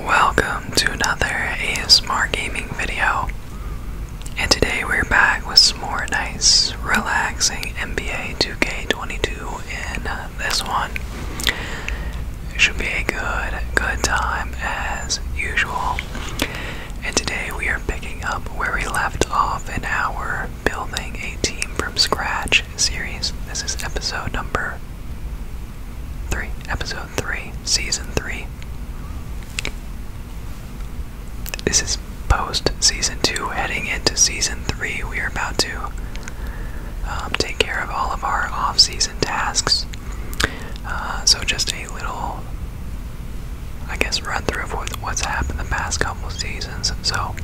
Welcome to another ASMR gaming video. And today we're back with some more nice, relaxing NBA 2K22 in this one. It should be a good, good time as usual. And today we are picking up where we left off in our Building a Team from Scratch series. This is episode number three, episode three, season three. This is post season two, heading into season three. We are about to um, take care of all of our off season tasks. Uh, so, just a little, I guess, run through of what's happened the past couple seasons. So,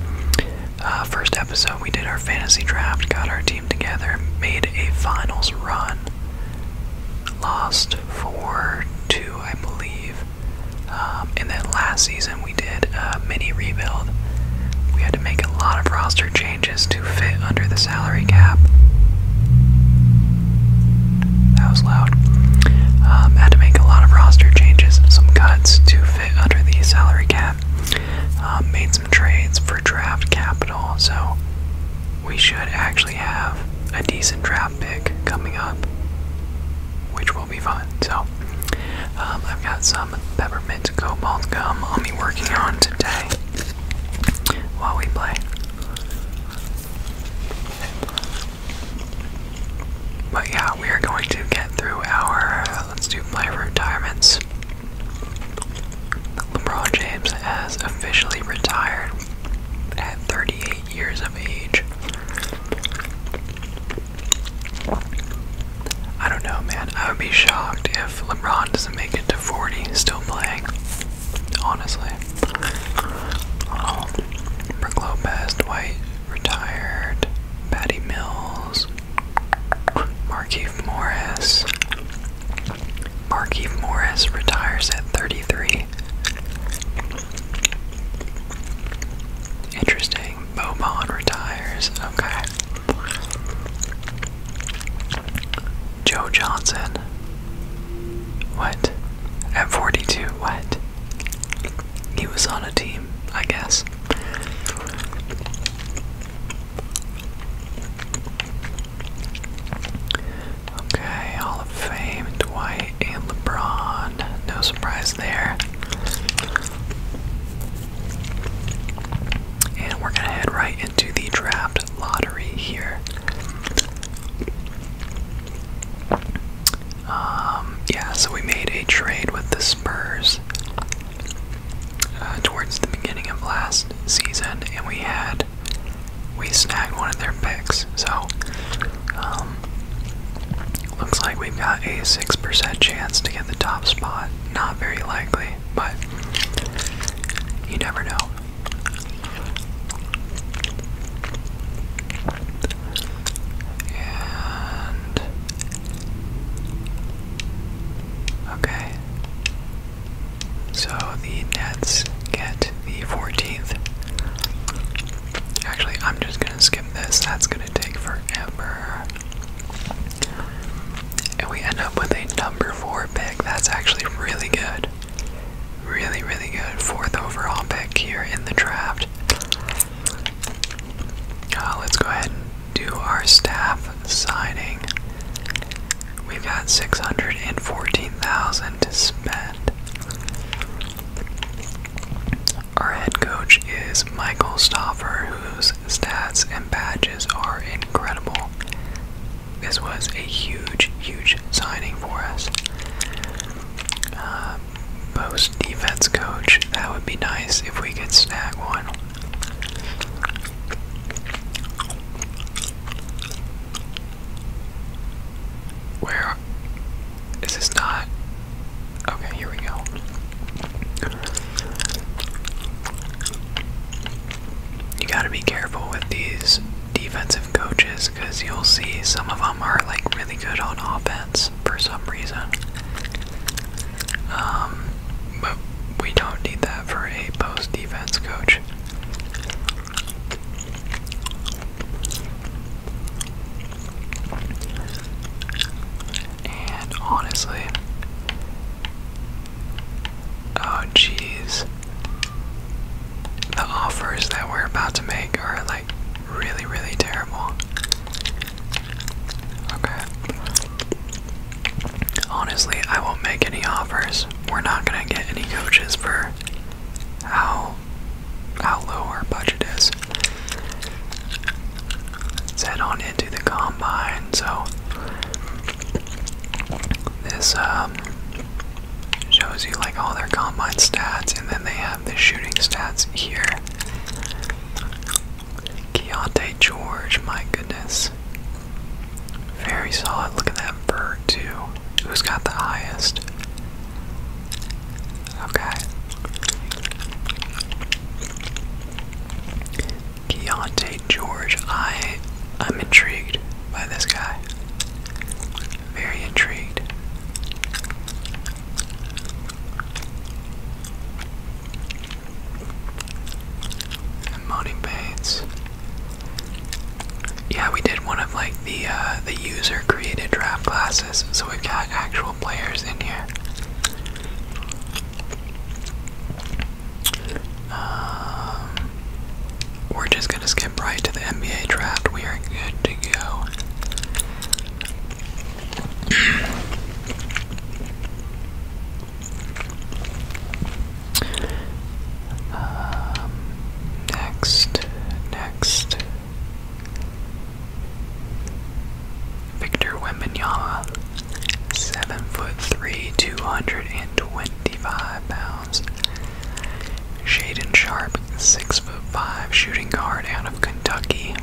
uh, first episode, we did our fantasy draft, got our team together, made a finals run, lost 4 2, I believe. Um, and then last season we did a mini rebuild. We had to make a lot of roster changes to fit under the salary cap. That was loud. Um, had to make a lot of roster changes, some cuts to fit under the salary cap. Um, made trades for draft capital, so we should actually have a decent draft pick coming up, which will be fun. So, um, I've got some peppermint cobalt gum I'll be working on today while we play. But yeah, we are going to get through our. let's do player retirements. LeBron James has officially retired at 38 years of age. I don't know, man. I would be shocked if LeBron doesn't make it to 40 still playing. Honestly. Oh, Lopez, Dwight retired. Patty Mills, Markeith Morris, Markeith Morris retires at 33. Interesting. Bobon retires. Okay. Joe Johnson. What? At 42. What? He was on a team, I guess. Okay, Hall of Fame, Dwight and LeBron. No surprise there. And we're gonna head right into the draft lottery here. Um, yeah, so we made a trade with the Spurs uh, towards the beginning of last season, and we had we snagged one of their picks. So um, looks like we've got a six percent chance to get the top spot. Not very likely, but you never know. And okay. So the Nets get the 14th. Actually, I'm just gonna skip this. That's gonna take forever. And we end up with a number four pick. That's actually really good. Really, really good. Fourth overall pick here in the draft. Uh, let's go ahead and do our staff signing. We've got 614,000 to spend. Our head coach is Michael Stoffer, whose stats and badges are incredible. This was a huge, huge signing for us. Uh, post defense coach, that would be nice if we could snag one. Where is this not? Okay, here we go. You gotta be careful with these defensive coaches because you'll see some of them are like really good on offense for some reason. Um, but we don't need that for a post defense coach. And honestly, oh jeez, the offers that we're about to make are like really, really terrible. Okay honestly, I won't make any offers. We're not gonna get any coaches for how how low our budget is. head on into the combine. So this um, shows you like all their combine stats, and then they have the shooting stats here. Keontae George, my goodness. Very solid. Look at that bird, too. Who's got the highest? Okay. Keontae George. I, I'm intrigued by this guy. Very intrigued. And Monty Bates. Yeah, we did one of like the uh, the user created draft classes, so we've got actual players in here. Um, we're just gonna skip right to the NBA draft. We are good to go. next, next. Victor Wembanyama, seven foot three, two hundred and twenty-five pounds. Shaden Sharp, six foot five, shooting guard out of Kentucky,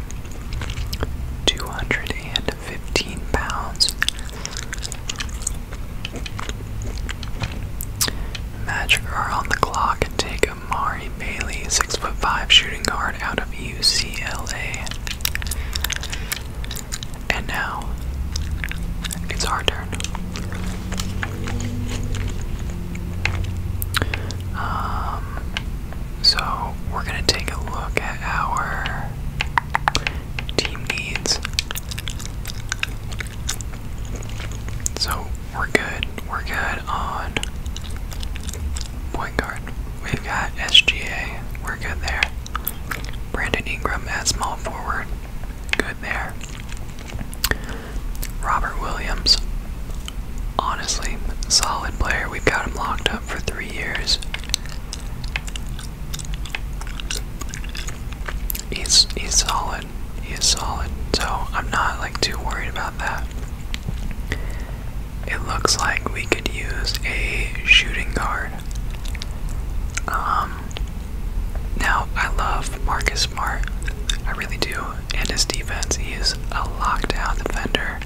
two hundred and fifteen pounds. Magic are on the clock and take Amari Bailey, 6'5 shooting guard out of UCLA. And now, it's our turn. Um, so, we're going to take a look at our team needs. So we're good. We're good on point guard. We've got SGA. We're good there. Brandon Ingram at small forward. Good there. Robert Williams. Honestly, solid player. We've got him locked up for three years. He's he's solid. He is solid. So I'm not like too worried about that. It looks like we could use a shooting guard. Um now I love Marcus Smart. I really do. And his defense. He is a lockdown defender.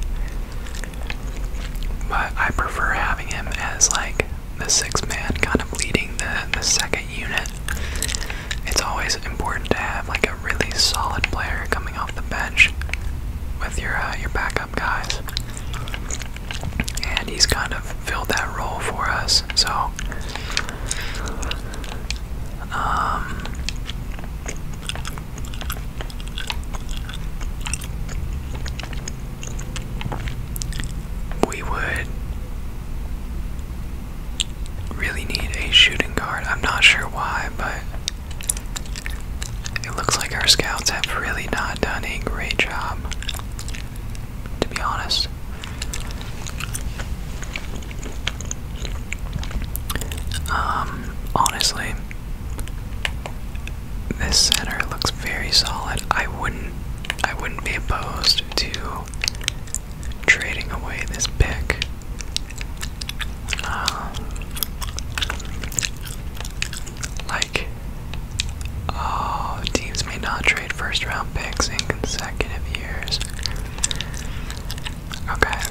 But I prefer having him as like the 6 man kind of leading the, the second unit, it's always important to have like a really solid player coming off the bench with your uh, your backup guys. And he's kind of filled that role for us. So um, we would really need a shooting guard. I'm not sure why, but it looks like our scouts have really not done a great job, to be honest. Um, honestly, this center looks very solid. I wouldn't I wouldn't be opposed to trading away this pick. Um, like, oh, teams may not trade first round picks in consecutive years. Okay.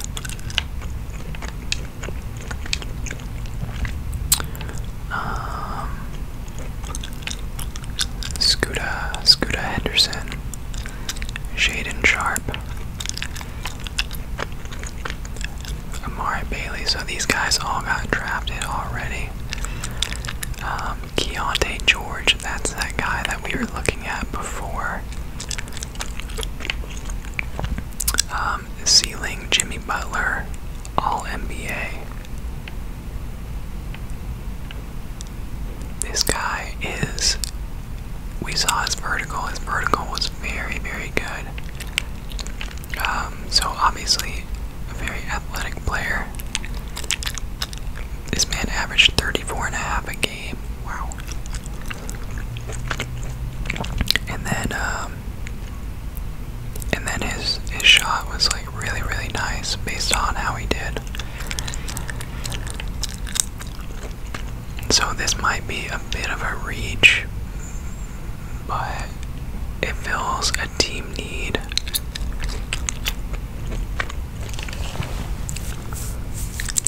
Um, Scuda, Scuda Henderson, Shaden Sharp, Amari Bailey. So these guys all got drafted already. Um, Keontae George, that's that guy that we were looking at before. Ceiling um, Jimmy Butler, All NBA. This guy is. We saw his vertical. His vertical was very, very good. Um, so, obviously, a very athletic player. This man averaged 34 and a half a game. Wow. And then, um, and then his his shot was like really, really nice based on how he did. So this might be a bit of a reach, but it fills a team need.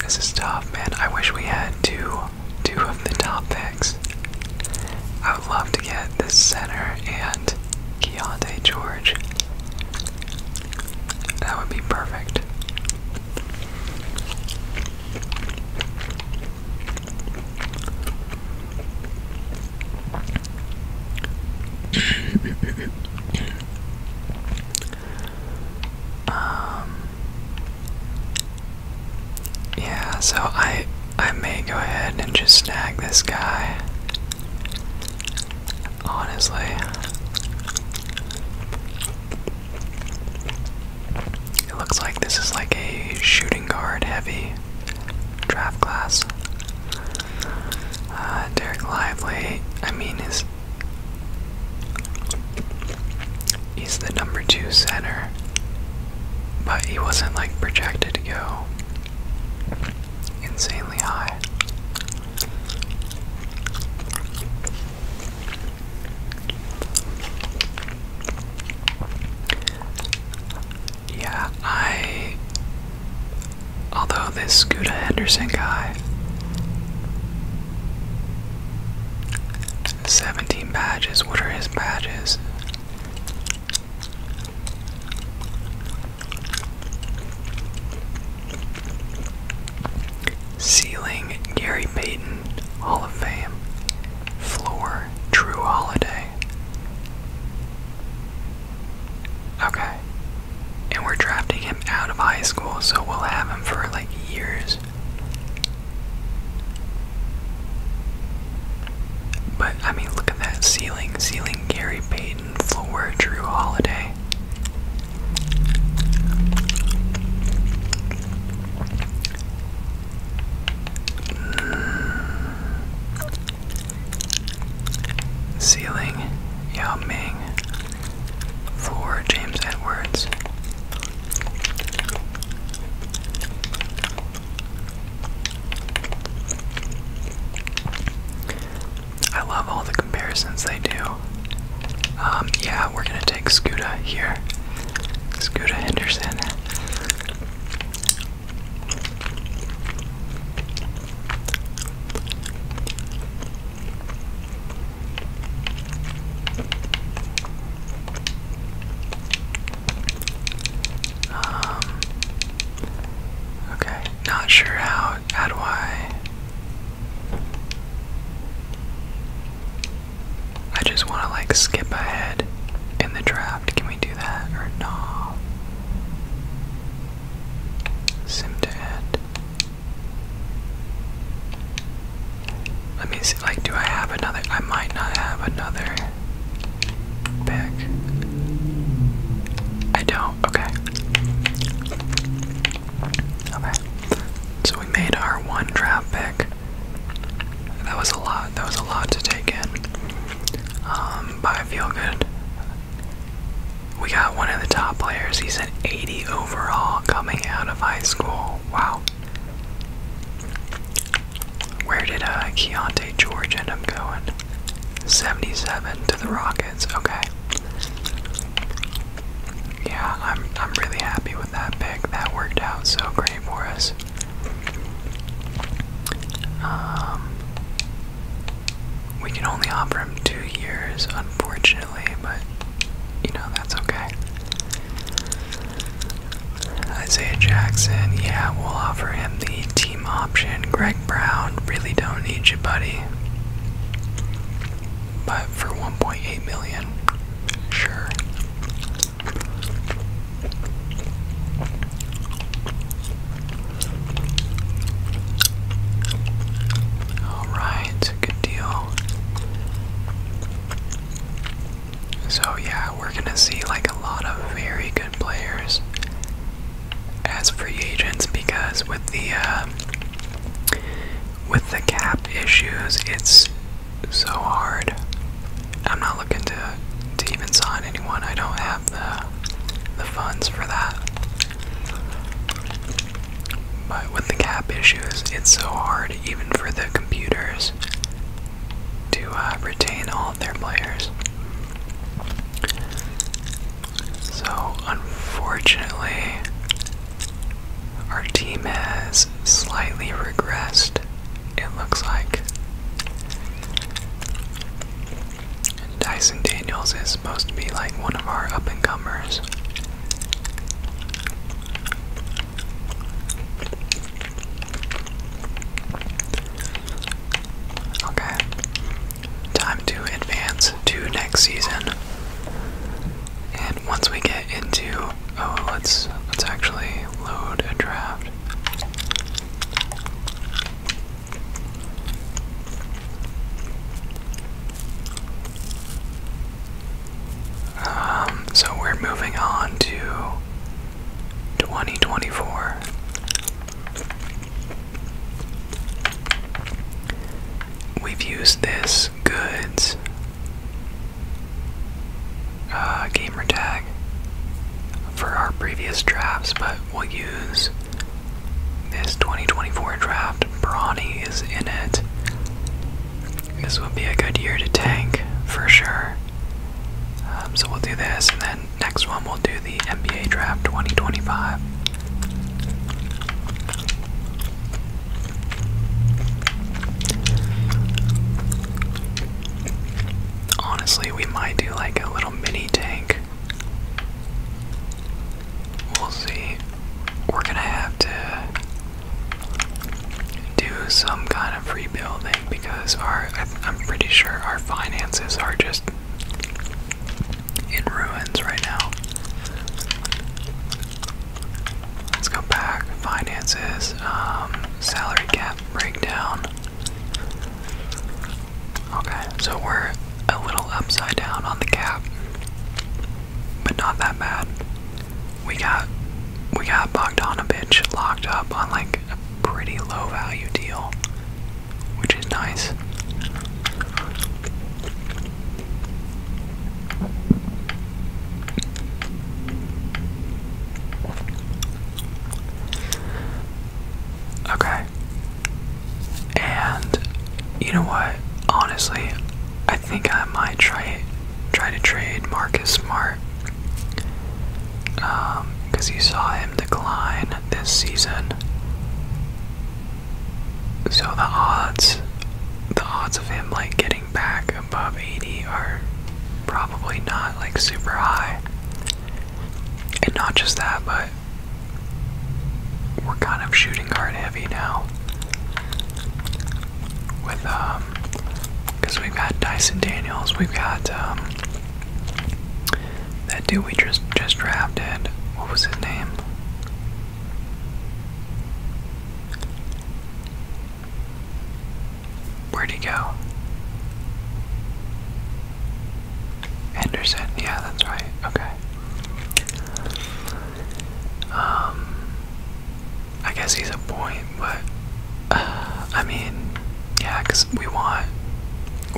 This is tough, man. I wish we had two, two of the top picks. I would love to get this center and Keontae George. That would be perfect. um, yeah, so I I may go ahead and just snag this guy. Honestly, it looks like this is like a shooting guard heavy draft class. Uh, Derek Lively, I mean, is he's the number two center, but he wasn't like projected to go. Insane yeah, I. Although this Scooter Henderson guy. 17 badges. What are his badges? Ceiling Gary Payton, Hall of Fame. Floor True Holiday. Okay. And we're drafting him out of high school, so we'll have him for like years. But I mean, look at that ceiling. Ceiling Gary Payton for Drew Holiday. Ceiling mm. Yao for James Edwards. I love all the comparisons they do. Um, yeah, we're gonna take Scuda here. Scuda Henderson. Um, okay. Not sure how. How do I? I just want to like skip ahead in the draft. Can we do that or no? Sim to Let me see. Like, do I have another? I might not have another pick. I don't okay. Okay. So we made our one draft pick. That was a lot. That was a lot to take in. Um, but I feel good. We got one of the top players. He's an 80 overall coming out of high school. Wow. Where did uh, Keontae George end up going? 77 to the Rock Okay. Yeah, I'm I'm really happy with that pick. That worked out so great for us. Um we can only offer him two years, unfortunately, but you know, that's okay. Isaiah Jackson, yeah, we'll offer him the T option. Greg Brown, really don't need you, buddy. But for 1.8 million, sure. Alright, good deal. So, yeah, we're gonna see like a lot of very good players as free agents because with the uh, with the cap issues, it's so hard. I'm not looking to to even sign anyone. I don't have the the funds for that. But with the cap issues, it's so hard even for the computers to uh, retain all of their players. So, unfortunately, our team has slightly regressed, it looks like. Dyson Daniels is supposed to be like one of our up and comers. Okay time to advance to next season. And once we get into oh let's let's actually load a draft. Um so we're moving on to 2024. We've used this goods uh, gamer tag for our previous drafts, but we'll use this 2024 draft. Brawny is in it. This would be a good year to tank for sure. Um, so we'll do this, and then next one we'll do the NBA draft 2025. Honestly, we might do like a little mini tank. We'll see. We're gonna have to do some kind of rebuilding because our, I'm pretty sure our finances are just in ruins right now. Let's go back. Finances, um, salary cap breakdown. Okay, so we're a little upside down on the cap, but not that bad. We got we got on a bitch, locked up on like a pretty low value deal which is nice. Okay. And you know what? Honestly, I think I might try try to trade Marcus Smart. Um, because you saw him decline this season. So the odds the odds of him like getting back above 80 are probably not like super high. And not just that, but we're kind of shooting guard heavy now. With um because we've got Dyson Daniels, we've got um that dude we just just drafted. What was his name? Where'd he go? Anderson, yeah, that's right. Okay. Um, I guess he's a point, but I mean, yeah, because we want,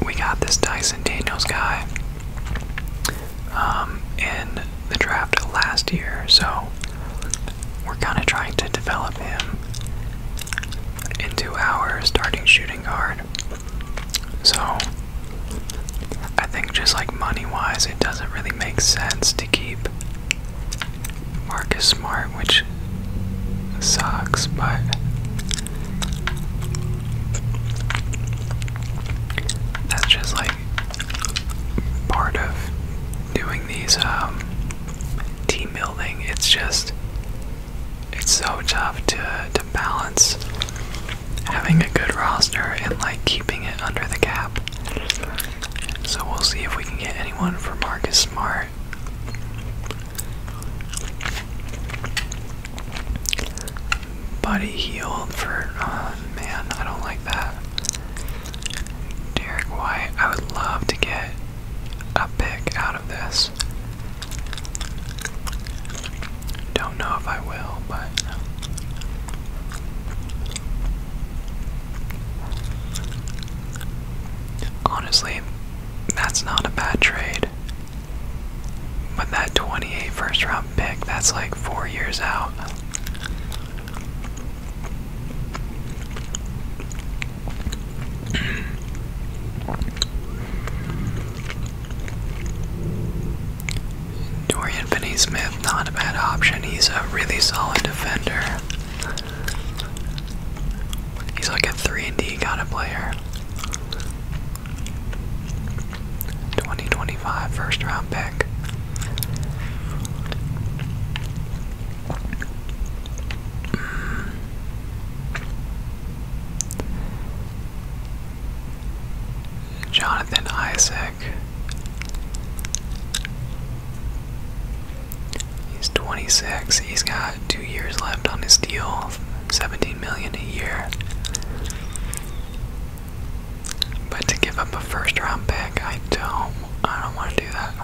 we got this Dyson Daniels guy. Um, in the draft last year, so we're kind of trying to develop him into our starting shooting guard. So I think just like money wise, it doesn't really make sense to keep Marcus Smart, which sucks, but that's just like part of doing these um, team building. It's just it's so tough to to balance having a good roster and like keeping it under the cap. So we'll see if we can get anyone for Marcus Smart. Buddy healed for, uh, man, I don't like that. Derek White, I would love to get a pick out of this. Don't know if I will, but. Honestly, that's not a bad trade. But that 28th first round pick, that's like four years out. Dorian Finney Smith, not a bad option. He's a really solid defender. He's like a 3 and D kind of player. 2025 first round pick. Mm. Jonathan Isaac. He's 26. He's got two years left on his deal, 17 million a year. But to give up a first round pick, I don't I don't want to do that.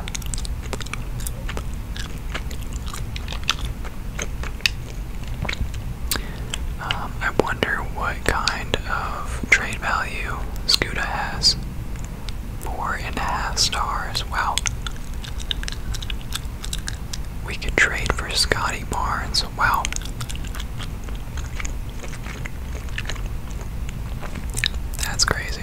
Um, I wonder what kind of trade value Scuda has. Four and a half stars. Wow. We could trade for Scotty Barnes Wow. That's crazy.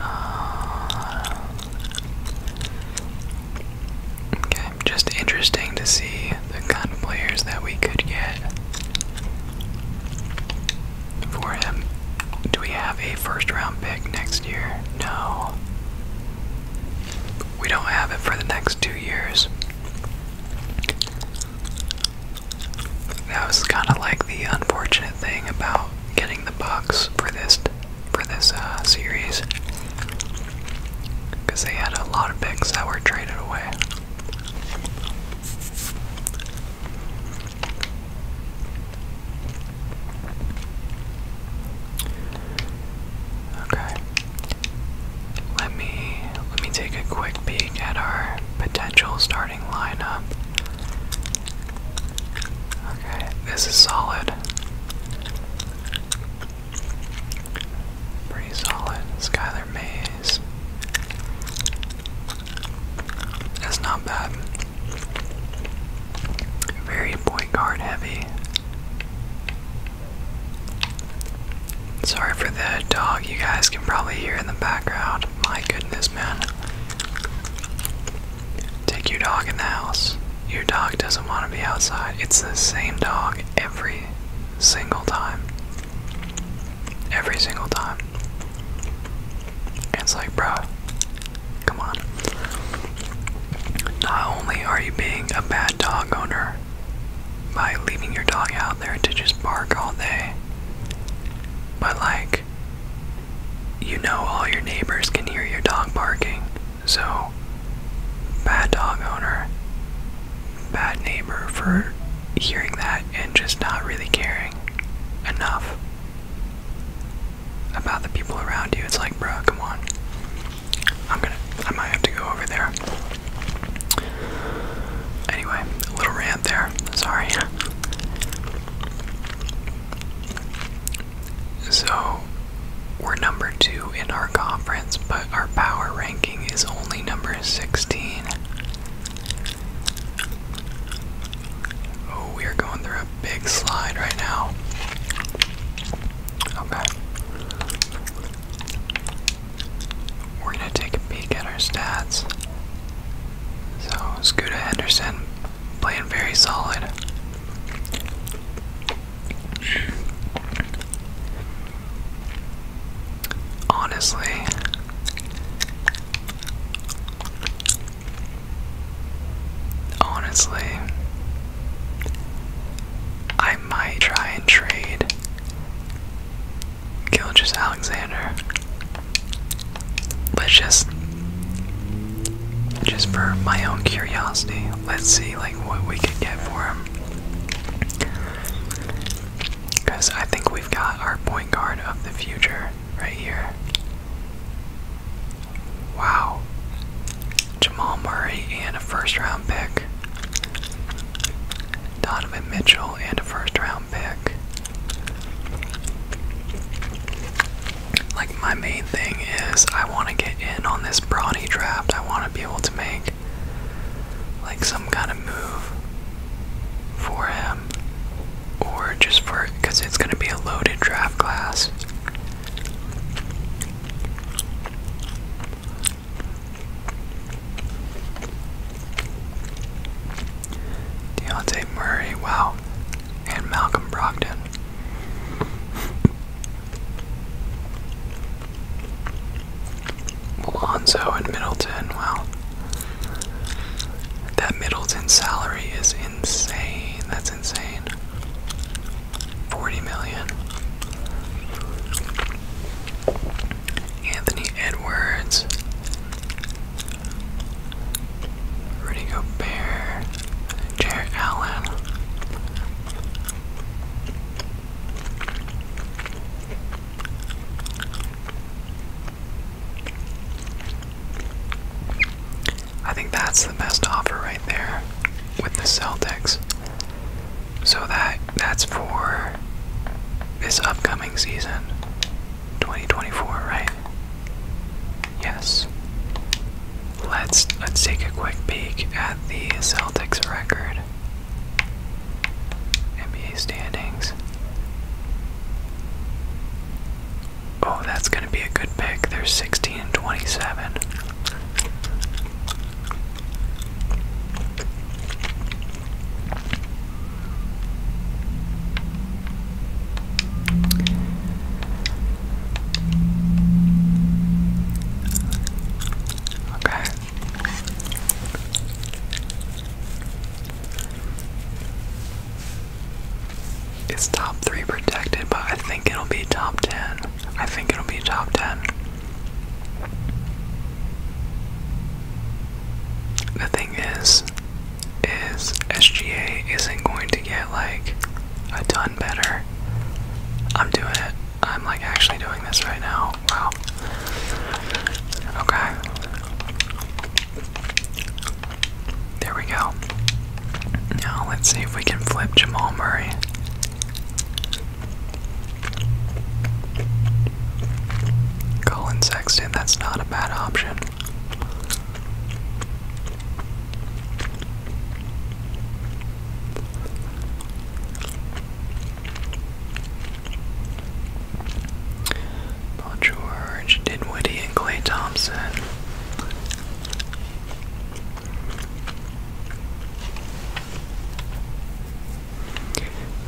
Uh, Okay, just interesting to see the kind of players that we could get for him. Do we have a first round pick next year? No. We don't have it for the next two years. That was kind of like the unfortunate thing about getting the Bucks for this for this uh, series because they had a lot of picks that were traded away. Okay. Let me let me take a quick peek at our potential starting lineup. Okay, this is solid. Pretty solid. Skylar Mays. That's not bad. Very point guard heavy. Sorry for the dog you guys can probably hear in the background. My goodness, man. Take your dog in the house. Your dog doesn't want to be outside. It's the same dog every single time. Every single time. it's like, bro, come on. Not only are you being a bad dog owner by leaving your dog out there to just bark all day, but like, you know all your neighbors can hear your dog barking. So, bad dog owner, bad neighbor for hearing that and just not really caring enough about the people around you. It's like, bro, come on. I'm gonna, I might have to go over there. Anyway, a little rant there. Sorry. So we're number two in our conference, but our power ranking is only number 16. Oh, we are going through a big slide right now. Okay. We're going to take a peek at our stats. So, Scuda Henderson playing very solid. Honestly, honestly, I might try and trade Gilgis Alexander, but just just for my own curiosity, let's see like what we could get for him. Because I think we've got our point guard of the future right here. Wow. Jamal Murray and a first round pick. Donovan Mitchell and a first round pick. Like, my main thing is I want to get in on this Brawny draft. I want to be able make like some kind of move for him or just for because it's going to be a loaded draft class. Deontay Murray, wow, and Malcolm Brogdon. Alonso and Middleton, Well, That Middleton salary is insane. That's insane. 40 million. Anthony Edwards. Rudy Gobert. Jared Allen. I think that's the best offer right there with the Celtics. So that that's for this upcoming season. 2024, right? Yes let's let's take a quick peek at the Celtics record. NBA standings. Oh, that's gonna be a good pick. They're 16 and 27. Okay. It's top three protected, but I think it'll be top ten. I think it'll be top ten. The thing is, is SGA isn't going to get like a ton better. I'm doing it I'm like actually doing this right now. Wow. Okay. There we go. Now let's see if we can flip Jamal Murray. Colin Sexton, that's not a bad option. Paul George, Dinwiddie, and Clay Thompson.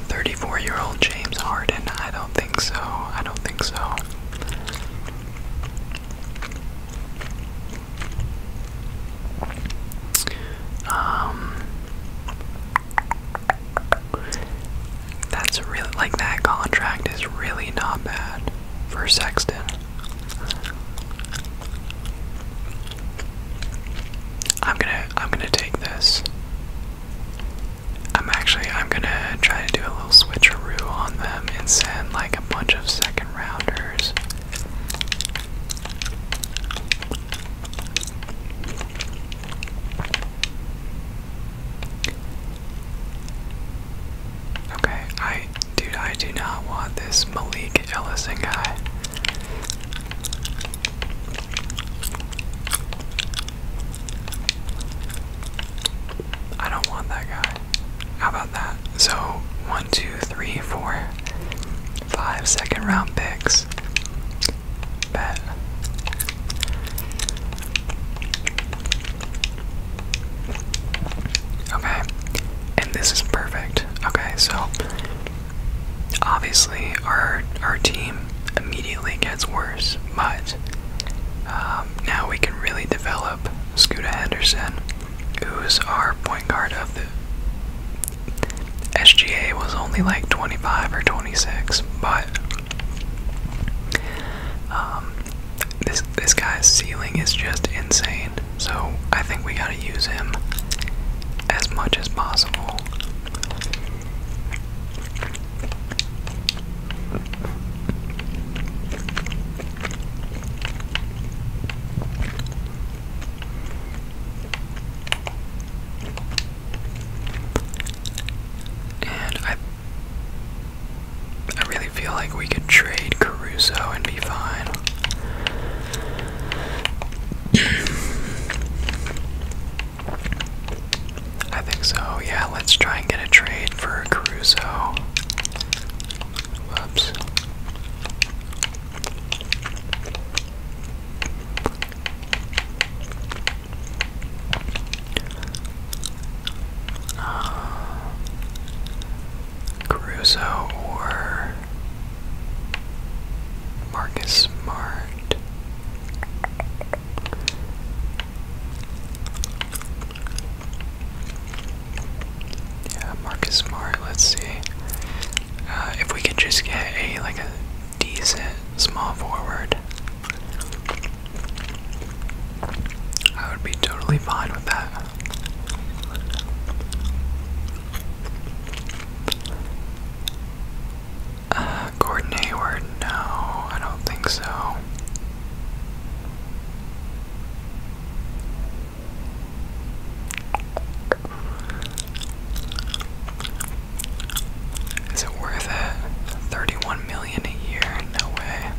Thirty-four-year-old James Harden. I don't think so. I don't think so. Um, that's really like that contract is really not bad for Sexton. I'm gonna I'm gonna take this. I'm actually I'm gonna try to do a little switcheroo on them and send like a bunch of second rounders. Okay, I dude, I do not want this Malik Ellison guy. I don't want that guy. How about that? So, one, two, three, four. Five second round picks. Bet. Okay, and this is perfect. Okay, so obviously our our team immediately gets worse, but um, now we can really develop Scuda Henderson, who's our point guard of the SGA was only like 25 or 26, but um, this this guy's ceiling is just insane. So I think we gotta use him as much as possible. And I I really feel like we could trade Caruso and be fine. I think so. Yeah, let's try and get a trade for Caruso. Whoops. Uh, Caruso or Marcus Smart. Yeah, Marcus Smart, let's see. Uh, if we could just get a like a decent small forward, I would be totally fine with that. Uh, Gordon Hayward, no, I don't think so. Is it worth it? 31 million a year? No way.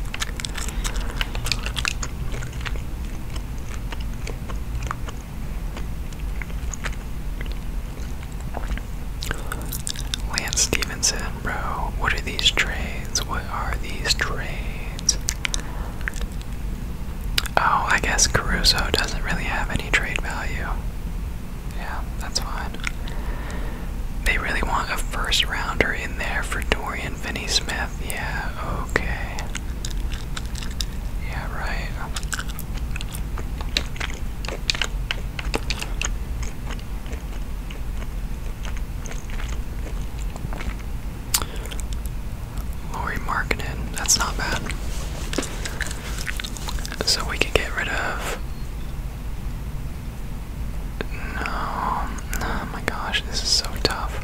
Lance Stevenson, bro. What are these trades? What are these trades? Oh, I guess Caruso doesn't really have any trade value. Yeah, that's fine. They really want a first rounder in there for Dorian Finney Smith. Yeah, okay. Yeah, right. Lori Markinen, that's not bad. So we can get rid of. No. Oh my gosh, this is so tough.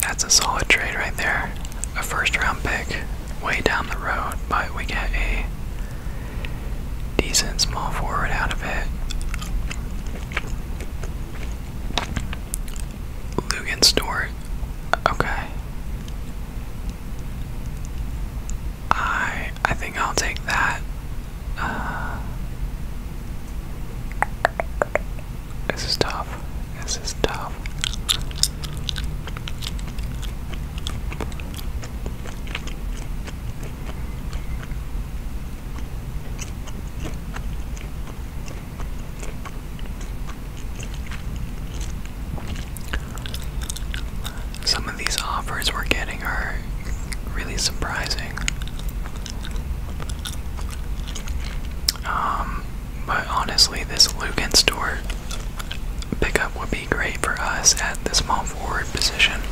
That's a solid trade right there. A first round pick way down the road, but we get a decent small forward out of it. Lugan Stewart. Okay. I I think I'll take that. Uh, this is tough. This is tough. Some of these offers we're getting are really surprising. Um, but honestly, this Lugan store pickup would be great for us at the small forward position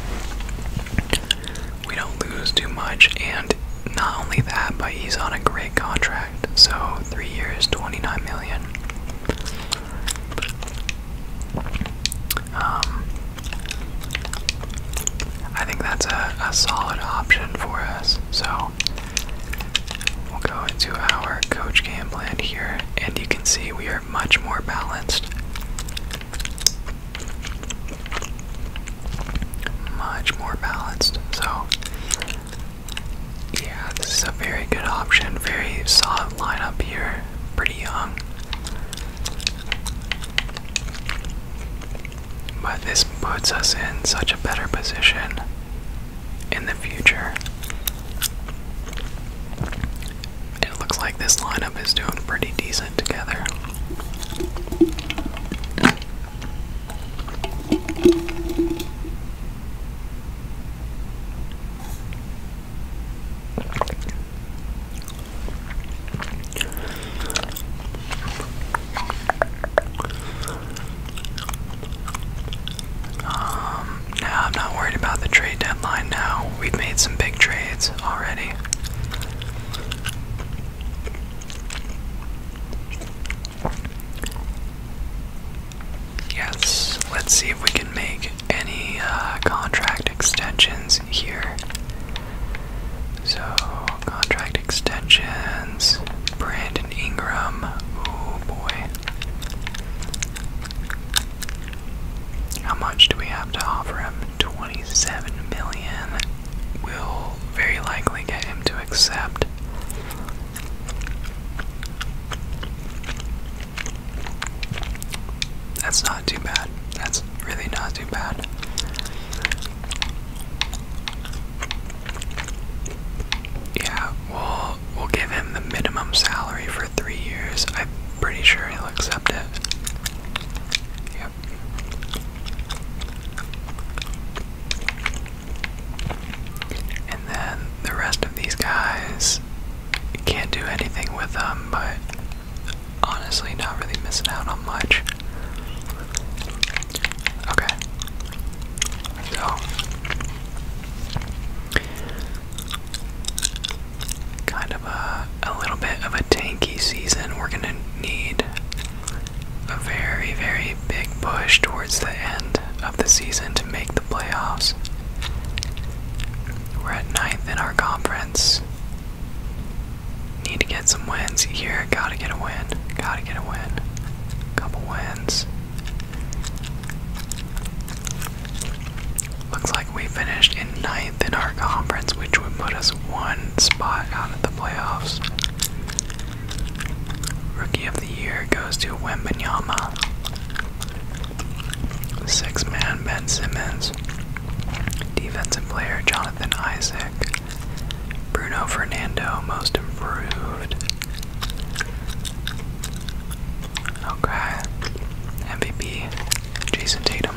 we don't lose too much. And not only that, but he's on a great contract. So three years, 29 million. Um, I think that's a, a solid option for us. So we'll go into our coach game plan here, and you can see we are much more balanced much more balanced. So, yeah, this is a very good option. Very solid lineup here. Pretty young. But this puts us in such a better position in the future. It looks like this lineup is doing pretty decent together. Um, now I'm not worried about the trade deadline now. We've made some big trades already. Yes, let's see if we can make any uh, contract extensions here. So, contract extensions, Brandon Ingram. Oh boy. How much do we have to offer him? 27 million will very likely get him to accept. That's not too bad. That's really not too bad. Yeah, we'll we'll give him the minimum salary for three years. I'm pretty sure he'll accept it. Yeah. And then the rest of these guys can't do anything with them, but honestly, not really missing out on much. Okay. So. Kind of a, a little bit of a tanky season. We're going to need a very, very big push towards the end of the season to make the playoffs. We're at ninth in our conference. Need to get some wins here. Gotta get a win. Gotta get a win. Couple wins. Looks like we finished in ninth in our conference, which would put us one spot out of the playoffs. Rookie of the Year goes to Wembenyama. Six man Ben Simmons. Defensive player Jonathan Isaac. Bruno Fernando, most improved. Okay. MVP Jason Tatum.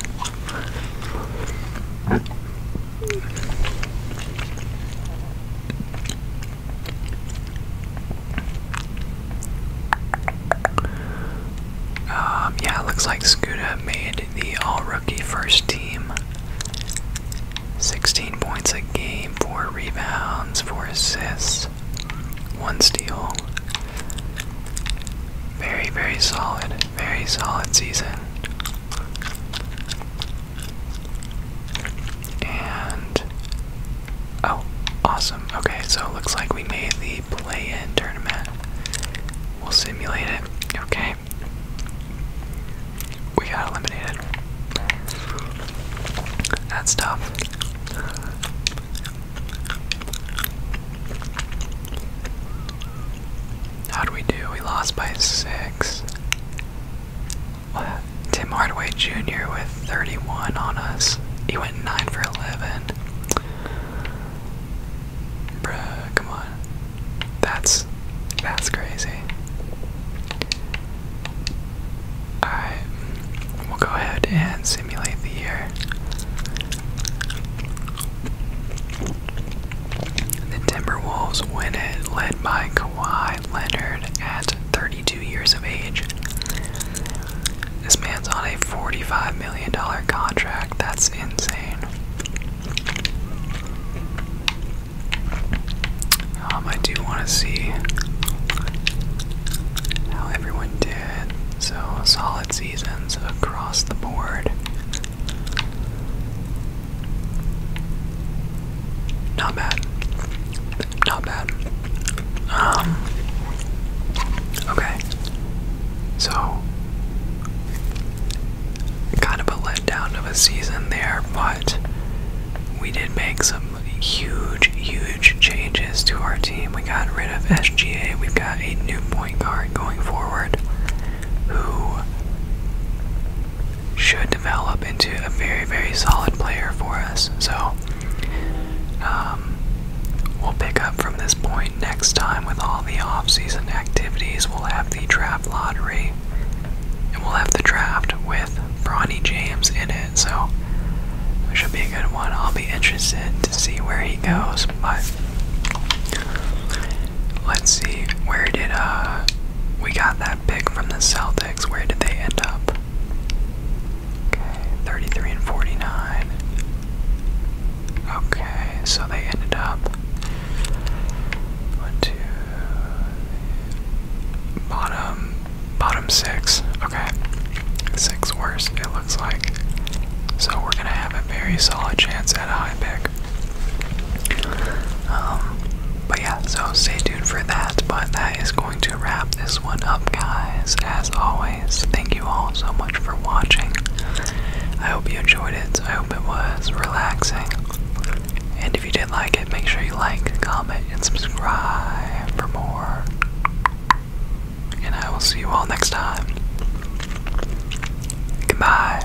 Um, yeah, looks like Scuda made the all rookie first team. 16 points a game, 4 rebounds, 4 assists, 1 steal. Very, very solid, very solid season. And oh, awesome. Okay, so it looks like we made the play-in tournament. We'll simulate it. Okay. We got eliminated. That's tough. How do we do? We lost by six. Tim Hardaway Jr. with 31 on us. He went 9 for 11. Bruh, come on. That's that's crazy. Alright, we'll go ahead and simulate the year. The Timberwolves win it, led by Kawhi Leonard at 32 years of age. This man's on a $45 million contract. That's insane. Um, I do want to see how everyone did. So, solid seasons across the board. Not bad. Not bad. Um. Okay. So. Kind of a letdown of a season there, but we did make some huge, huge changes to our team. We got rid of SGA. We've got a new point guard going forward who should develop into a very, very solid player for us. So um, we'll pick up from this point next time with all the off-season activities. We'll have the draft lottery, and we'll have the draft with Bronny James in it. So it should be a good one. I'll be interested to see where he goes, but let's see where did uh we got that pick from the Celtics, where did they end up? Okay, 33 and 49. Okay, so they ended up one, two, bottom, bottom six. Okay, six worse it looks like. So we're gonna have a very solid chance at a high pick. Um, but yeah, so stay tuned for that. But that is going to wrap this one up, guys. As always, thank you all so much for watching. I hope you enjoyed it. I hope it was relaxing. And if you did like it, make sure you like, comment, and subscribe for more. And I will see you all next time. Goodbye.